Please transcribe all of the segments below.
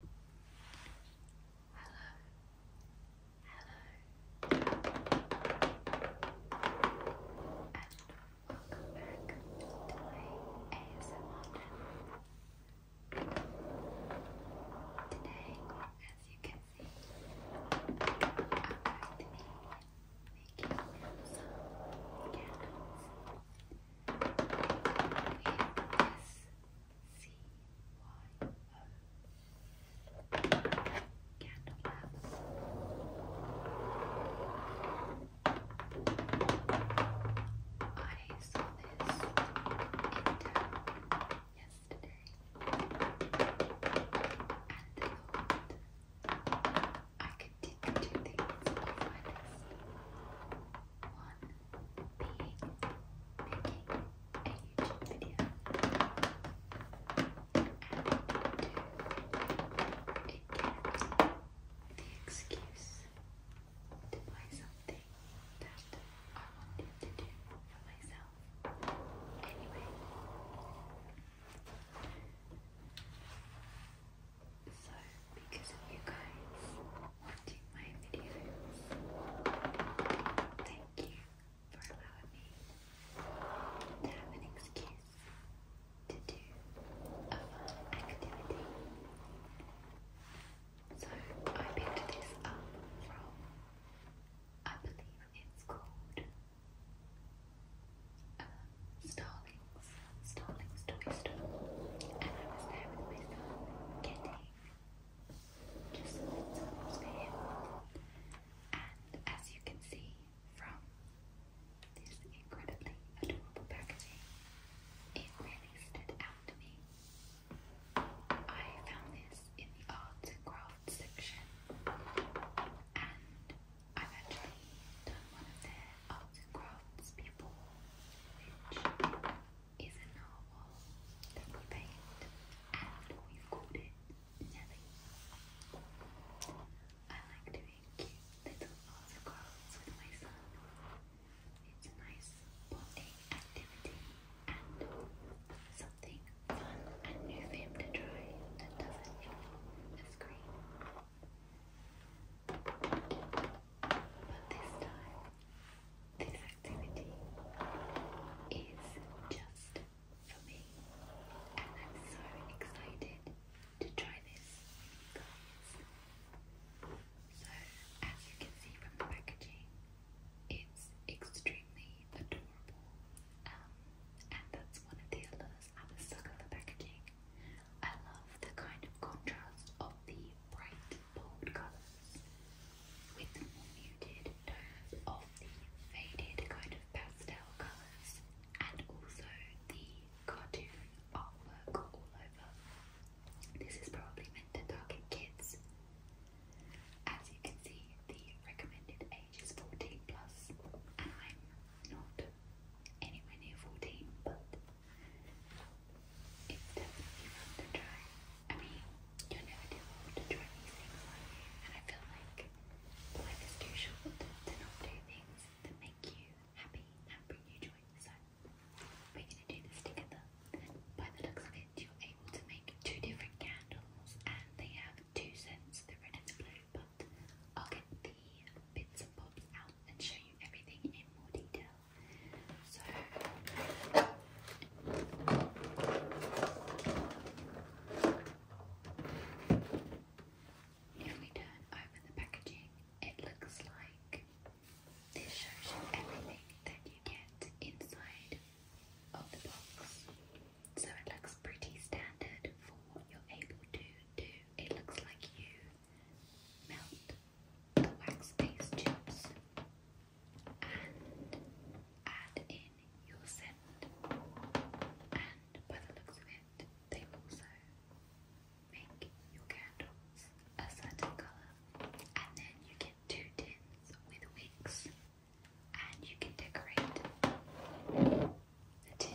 Hello, and welcome back to ASMR Today, as you can see, I'm making some candles. With this C-Y-O. Candle I saw this in town yesterday and thought I could take two things off my one being making a YouTube video and two, it the excuse to buy something that I wanted to do for myself anyway. So because of you guys watching my videos. Thank you for allowing me to have an excuse to do a fun activity. So I picked this up from, I believe it's called um, Starling's, Starling's Toy Store, and I was there myself just a little bit. And as you can see from this incredibly adorable packaging, it really stood out to me. I found this in the arts and crafts section, and I've actually done one of their arts and crafts before, is a narwhal that we paint and we've called it Nelly. I like doing cute little articles with my son. It's a nice bonding activity and something fun and new for him to try that doesn't involve a screen. But this time, this activity is just for me, and I'm so excited to try this So, as you can see from the packaging, it's extremely adorable, um, and that's one of the alerts. I'm a sucker for packaging. I love the kind of contrast of the bright, bold colours with the more muted tones of the faded kind of pastel colours and also the cartoon artwork all over. This is probably meant to target kids. As you can see, the recommended age is 14 plus, and I'm not anywhere near 14, but it's definitely fun to try. I mean, you'll never too old to try these things, and I feel like life is too short to not do things that make you happy and bring you joy. So we're gonna do this together. By the looks of it, you're able to make two different candles, and they have two scents: the red and the blue. But I'll get the bits and bobs out and show you everything in more detail. So if we turn open the packaging, it looks like this shows you everything that you get inside of the box. So it looks pretty standard for what you're able to do. It looks like you melt the wax paste tubes and add in your scent. And by the looks of it, they also make your candles a certain colour. And then you get two tins with wicks, and you can decorate the tin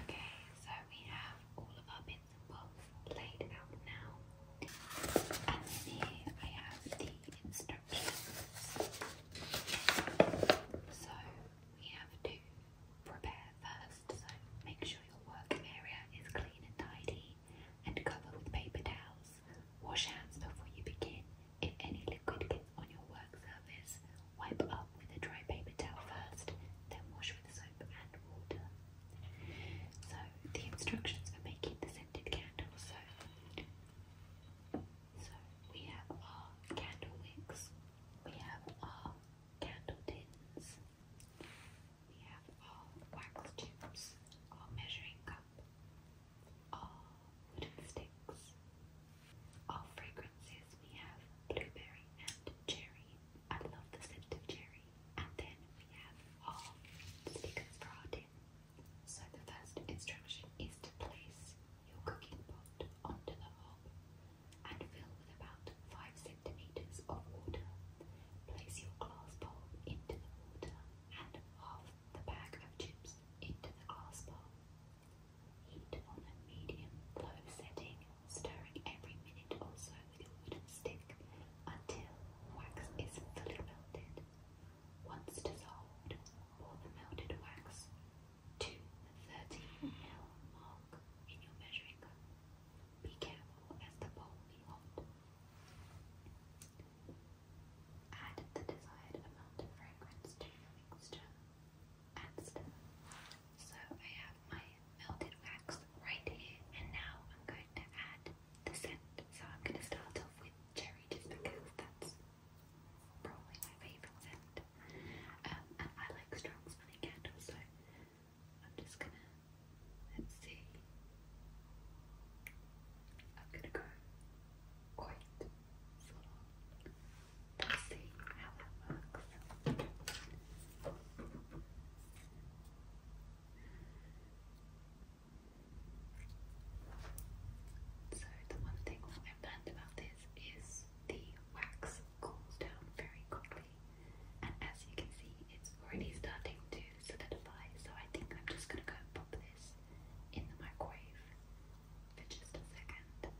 Okay, so we have all of our bits and bobs laid out now. And here I have the instructions. So we have to prepare first, so make sure your work area is clean and tidy and cover with paper towels. Wash hands before you begin if any liquid gets on your work surface, wipe up with a dry paper towel first, then wash with soap and water. So, the instructions for making the scented candles. So, so we have our candle wicks, we have our candle tins, we have our wax tubes, our measuring cup, all wooden sticks. All fragrances we have blueberry and cherry. I love the scent of cherry. And then we have all stickers for our tin. So the first instruction is to place your cooking pot onto the hob and fill with about 5 centimeters of water. Place your glass bowl into the water and half the bag of tubes into the glass bowl. Heat on a medium-low setting, stirring every minute or so with a wooden stick until wax is fully melted. Once dissolved, pour the melted wax to the 30 ml mark in your measuring cup. Be careful as the bowl will be hot. Add the desired amount of fragrance to your mixture So I have my melted wax right here, and now I'm going to add the scent. So I'm going to start off with cherry just because that's probably my favourite scent. Um, and I like strong smelling so I'm just going to, let's see. I'm going to go quite so let's see how it works. So the one thing that I've learned about this is the wax cools down very quickly and as you can see it's already starting to solidify so I think I'm just going to go pop this in the microwave for just a second,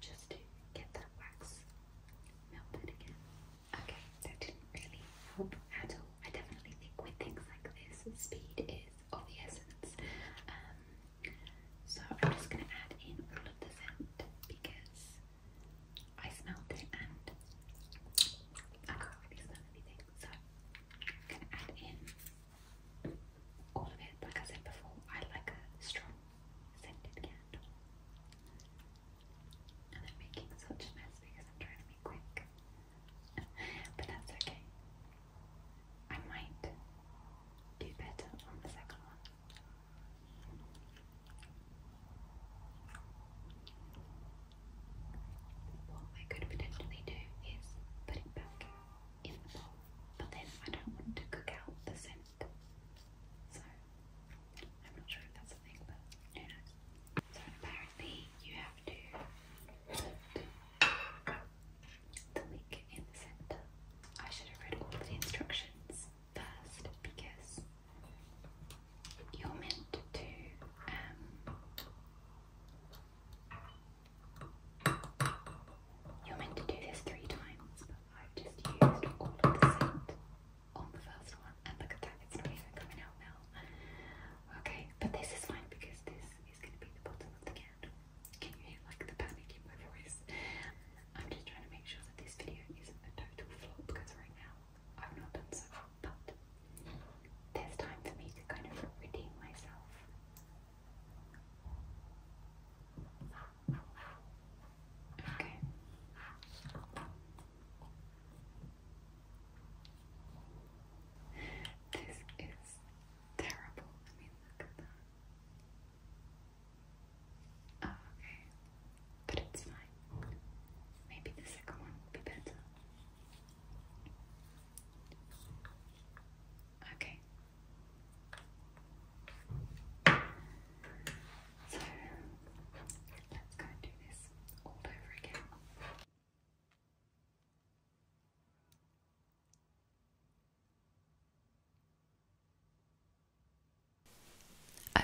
just to get that wax melted again. Okay, that didn't really help at all. I definitely think with things like this, speed is of essence. Um, so I'm just going to add in all of the scent because I smelled it and I can't really smell anything. So I'm going to add in all of it. Like I said before, I like a strong scented candle. And I'm making such a mess because I'm trying to be quick. but that's okay. I might do better on the second one. What I could potentially do is put it back in the pot, but then I don't want to cook out the scent. So I'm not sure if that's a thing, but who knows. So apparently you have to put the wick in the centre. I should have read all the instructions first because you're meant to um you're meant to do this three times, but I've just used all of the scent on the first one, and look at that, it's not even coming out now. Okay, but this is fine because this is going to be the bottom of the candle. Can you hear like the panic in my voice? I'm just trying to make sure that this video isn't a total flop because right now I've not done so, but there's time for me to kind of redeem myself. Okay. This is terrible. I mean, look at that. Oh, okay. But it's fine. Maybe the second one will be better. Okay. So let's go and do this all over again.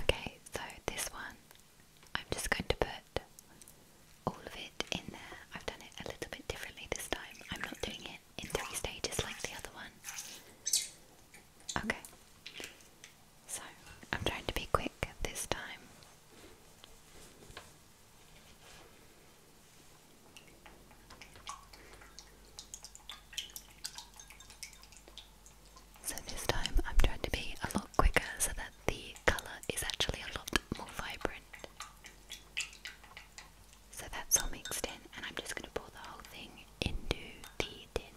Okay, so this one I'm just going to put all of it in there. I've done it a little bit differently this time. I'm not doing it in three stages like the other one. Okay. So, I'm trying to be quick this time. So this time I'm trying to be a lot quicker so that the colour is actually a lot more vibrant. So that's all mixed in, and I'm just going to pour the whole thing into the tin.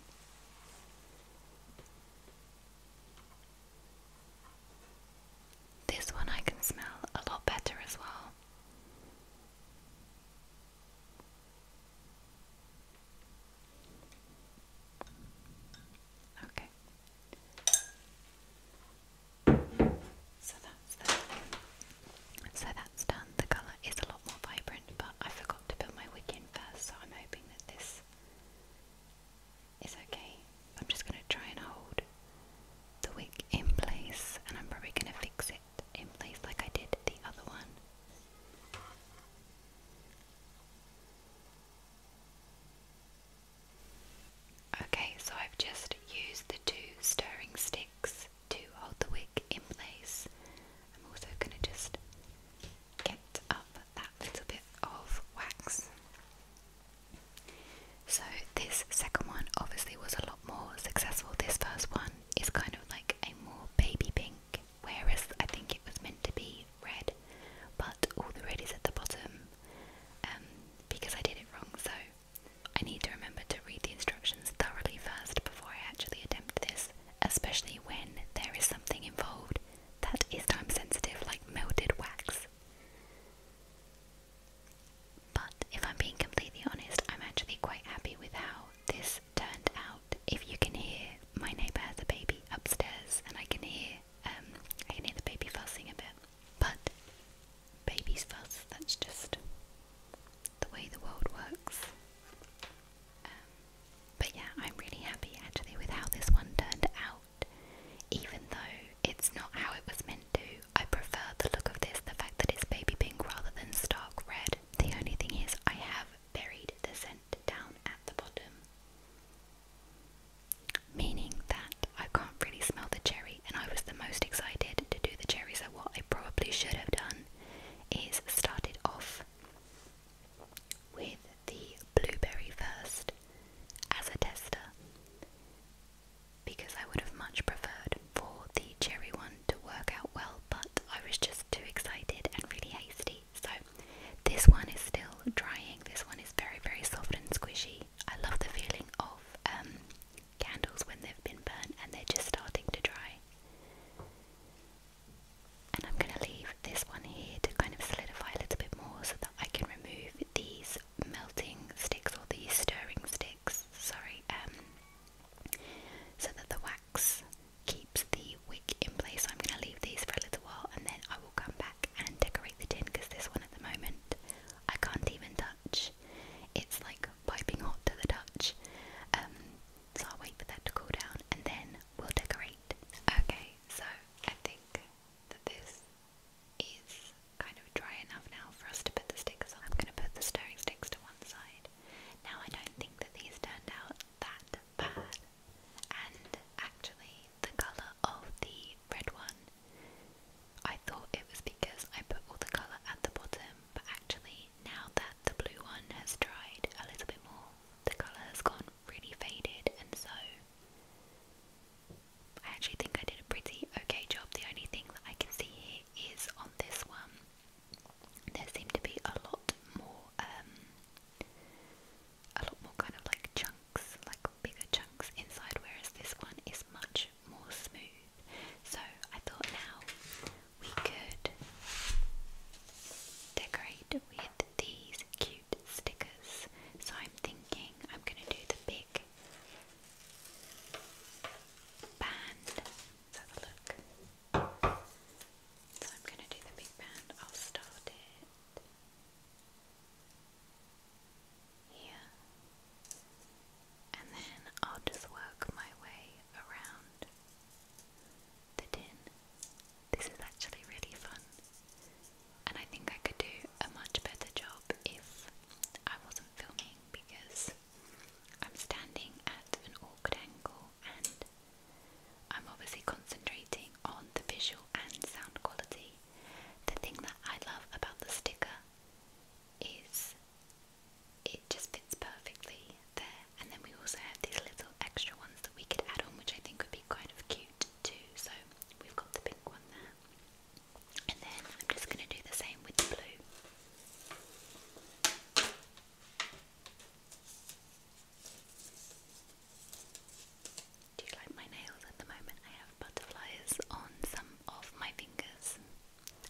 This one I can smell a lot better as well. Okay. So that's done. The colour is a lot more vibrant, but I forgot to put my wig in first, so I'm hoping that this is okay. I'm just going to try and hold the wick in place, and I'm probably going to fix it in place like I did the other one. Okay, so I've just used the two stirring sticks to hold the wick in place. I'm also going to just get up that little bit of wax. So, this second one obviously was a lot more successful. This first one is kind of like a more baby pink, whereas I think it was meant to be red, but all the red is at the bottom um, because I did it wrong, so I need to remember to read the instructions thoroughly first before I actually attempt this, especially when there is something involved that is time sensitive, like melted wax. But if I'm being completely honest, I'm actually quite happy with how this turned out. If you can hear, my neighbour has a baby upstairs, and I can hear um, I can hear the baby fussing a bit, but babies fuss, that's just the way the world works. Um, but yeah, I'm really happy actually with how this one turned out, even though it's not how it was meant to. I prefer the look of this, the fact that it's baby pink rather than stark red. The only thing is, I have buried the scent down at the bottom meaning that I can't really smell the cherry, and I was the most excited to do the cherry. So, what I probably should have done is started off with the blueberry first as a tester because I would have much preferred for the cherry one to work out well, but I was just too excited and really hasty, so this one is still drying. This one is very, very soft and squishy. I love the feeling of um, candles when they've been burnt and they're just starting to dry. And I'm going to leave this one here to kind of solidify a little bit more so that I can remove these melting sticks or these stirring sticks, sorry, um, so that the wax keeps the wick in place. So I'm going to leave these for a little while and then I come back and decorate the tin because this one at the moment I can't even touch. It's like piping hot to the touch. Um, so I'll wait for that to cool down and then we'll decorate. Okay, so I think that this is kind of dry enough now for us to put the stickers on. I'm going to put the stirring sticks to one side. Now I don't think that these turned out that bad and actually, the colour of the red one, I thought it was because I put all the colour at the bottom, but actually, now that the blue one has dried a little bit more, the colour has gone really faded, and so I actually think I did a pretty okay job. The only thing that I can see here is on this one, there seemed to be a lot more um, a lot more kind of like chunks, like bigger chunks inside, whereas this one is much more smooth. So I thought now we could decorate with these cute stickers. So I'm thinking I'm going to do the big band. Let's have a look. So I'm going to do the big band. I'll start it here, and then I'll just work my way around the tin. This is actually really fun, and I think I could do a much better job if I wasn't filming because I'm standing at an awkward angle and I'm obviously concentrating on the visual and sound quality. The thing that I love about the sticker is it just fits perfectly there, and then we also have these little extra ones that we could add on, which I think would be kind of cute too. So we've got the pink one there, and then I'm just going to do the same with the blue. Do you like my nails at the moment? I have butterflies on some of my fingers.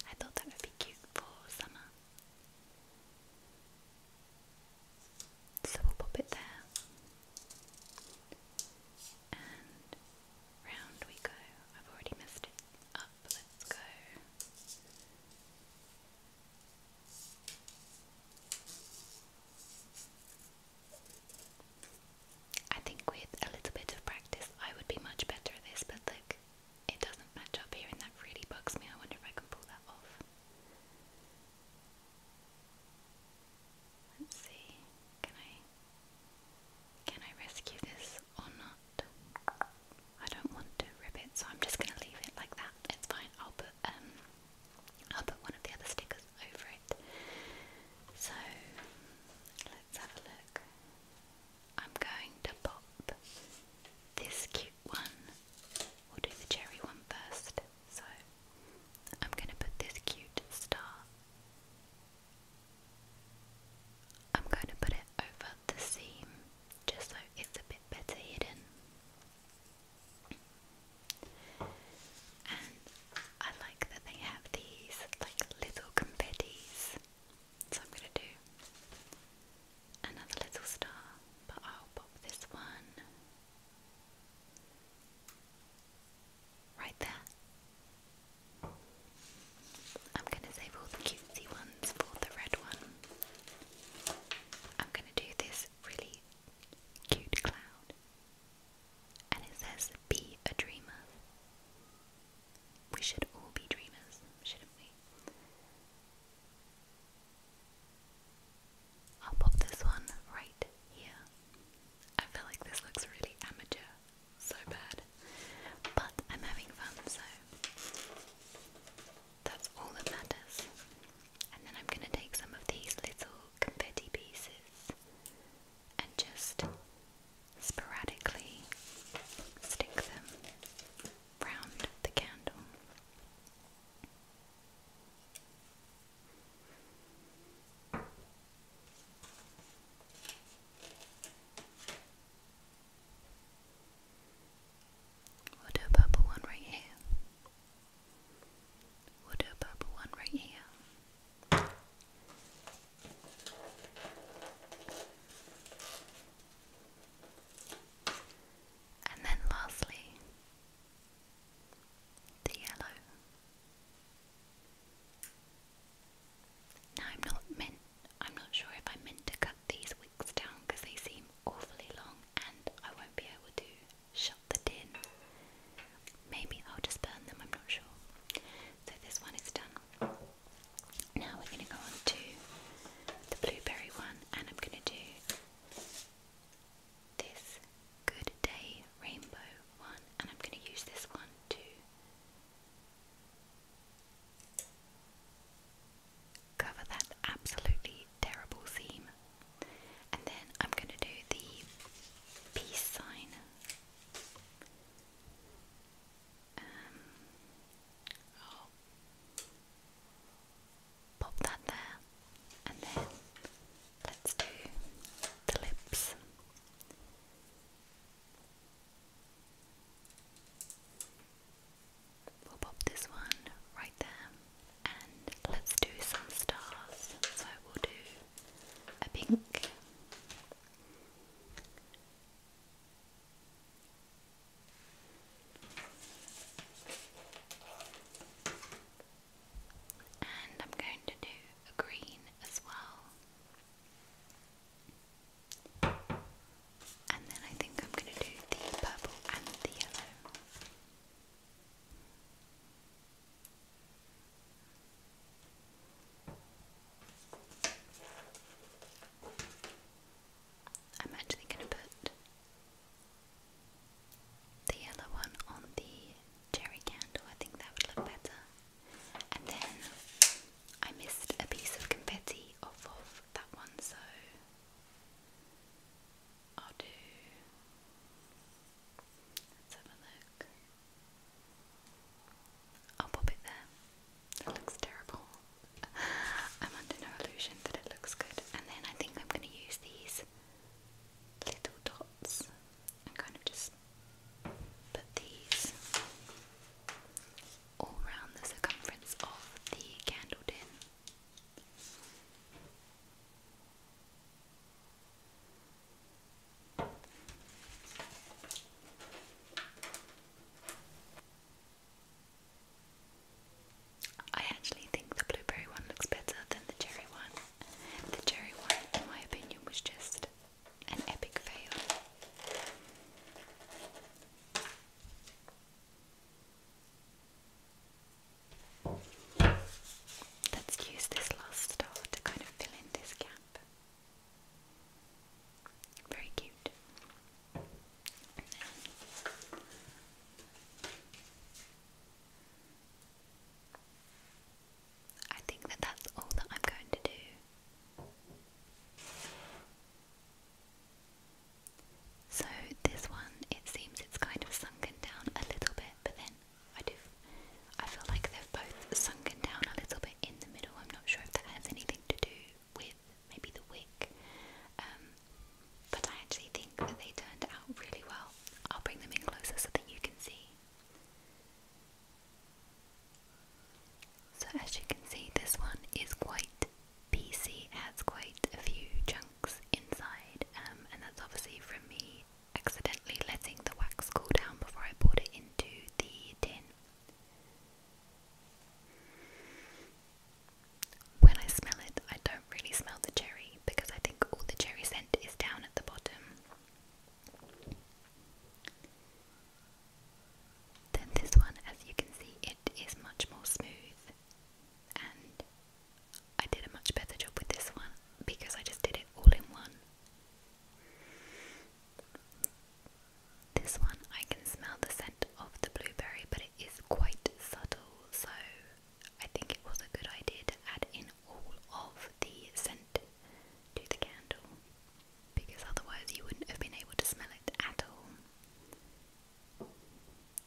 I thought that would be cute for summer. So we'll pop it there. And round we go. I've already messed it up. Let's go I think with a little bit of practice I would be much better at this, but look, it doesn't match up here and that really bugs me. I wonder if I can pull that off. Let's see, can I can I rescue this or not? I don't want to rip it, so I'm just gonna leave it like that. It's fine, I'll um, I'll put one of the other stickers over it. So let's have a look. I'm going to pop this cute one. We'll do the cherry one first. So I'm gonna put this cute star. I'm going to put it over the seam just so it's a bit better hidden. And I like that they have these like little confettis. So I'm gonna do another little star, but I'll pop this one right there. I'm gonna save all the cutesy ones for the red one. I'm gonna do this really cute cloud, and it says, Be a dreamer. We should all be dreamers, shouldn't we? I'll pop this one right here. I feel like this looks really amateur, so bad, but I'm having fun, so that's all that matters. And then I'm going to take some of these little confetti pieces and just sporadically stick them round the candle. We'll do a purple one right here. We'll do a purple one right here. And then lastly, the yellow. Now I'm not meant, I'm not sure if I'm meant to cut these wigs down because they seem awfully long and I won't be able to shut the tin. Maybe I'll just burn them, I'm not sure. So this one is done. Now we're going to go on to the blueberry one, and I'm going to do this Good Day Rainbow one, and I'm going to use this one too cover that absolutely terrible seam. And then I'm going to do the peace sign. Um, pop that there. And then let's do the lips. We'll pop this one right there. And let's do some stars. So we'll do a pink. And I'm going to do a green as well. And then I think I'm going to do the purple and the yellow. I'm actually going to put the yellow one on the cherry candle, I think that would look better. And then I missed a piece of confetti off of that one, so I'll do. Let's have a look. I'll pop it there. That looks terrible. I'm under no illusion that it looks good. And then I think I'm going to use these little dots and kind of just put these all around the circumference of the candle tin. I actually think the blueberry one looks better than the cherry one. The cherry one, in my opinion, was just an epic fail. Let's use this last star to kind of fill in this gap. Very cute. I think that that's all that I'm going to do. So this one, it seems it's kind of sunken down a little bit, but then I do, I feel like they are both sunken down a little bit in the middle. I'm not sure if that has anything to do with maybe the wick, um, but I actually think that they turned out really well. I'll bring them in closer so that you can see. So as you can see, this one is quite PC has quite a few chunks inside, um, and that's obviously from me accidentally letting the wax cool down before I poured it into the tin. When I smell it, I don't really smell the cherry because I think all the cherry scent is down at the bottom. Then this one, as you can see, it is much more smooth and I did a much better job with this one because I just did it all in one. This one I can smell the scent of the blueberry, but it is quite subtle, so I think it was a good idea to add in all of the scent to the candle because otherwise you wouldn't have been able to smell it at all.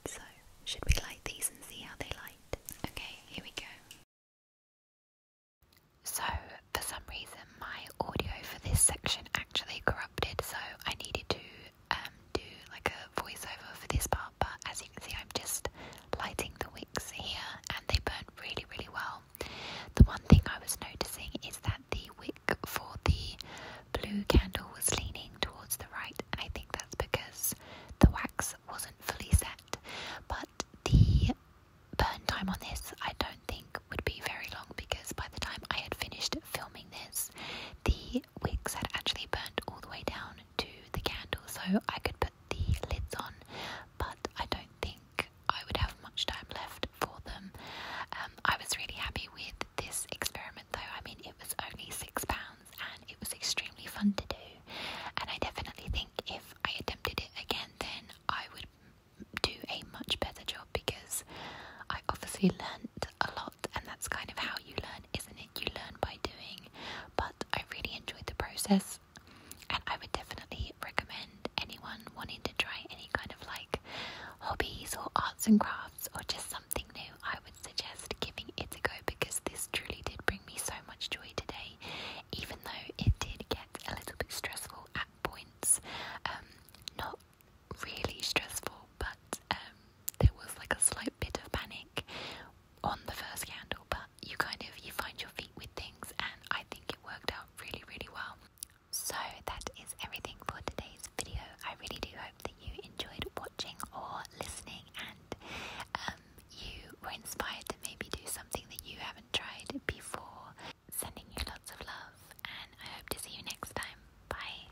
So, should we light these and see how they light? Okay, here we go. So, for some reason, my audio for this section actually corrupted, so I needed to um, do like a voiceover for this part. But as you can see, I'm just lighting the wicks here and they burn really, really well. The one thing I was noticing is that the wick for the blue candle was leaning towards the right, and I think that's because the wax wasn't fully set. But the burn time on this, I don't think, would be very long because by the time I had finished filming this, the wicks had actually burnt all the way down to the candle, so I could put the lids on, but I don't think I would have much time left for them. Um, I was really happy with this experiment though. I mean, it was only six pounds and it was extremely fun to do. And I definitely think if I attempted it again, then I would do a much better job because I obviously learned a lot, and that's kind of how you learn, isn't it? You learn by doing. But I really enjoyed the process, and I would definitely recommend anyone wanting to try any kind of like hobbies or arts and crafts or just something new, I would suggest giving it a go because this truly did bring me so much joy today, even though it did get a little bit stressful at points. Um, not really stressful, but um, there was like a slight bit of panic on the first candle, but you kind of you find your feet with things, and I think it worked out really, really well. So that is everything for today's video. I really do hope that you enjoyed watching or listening and um, you were inspired to maybe do something that you haven't tried before. Sending you lots of love and I hope to see you next time. Bye.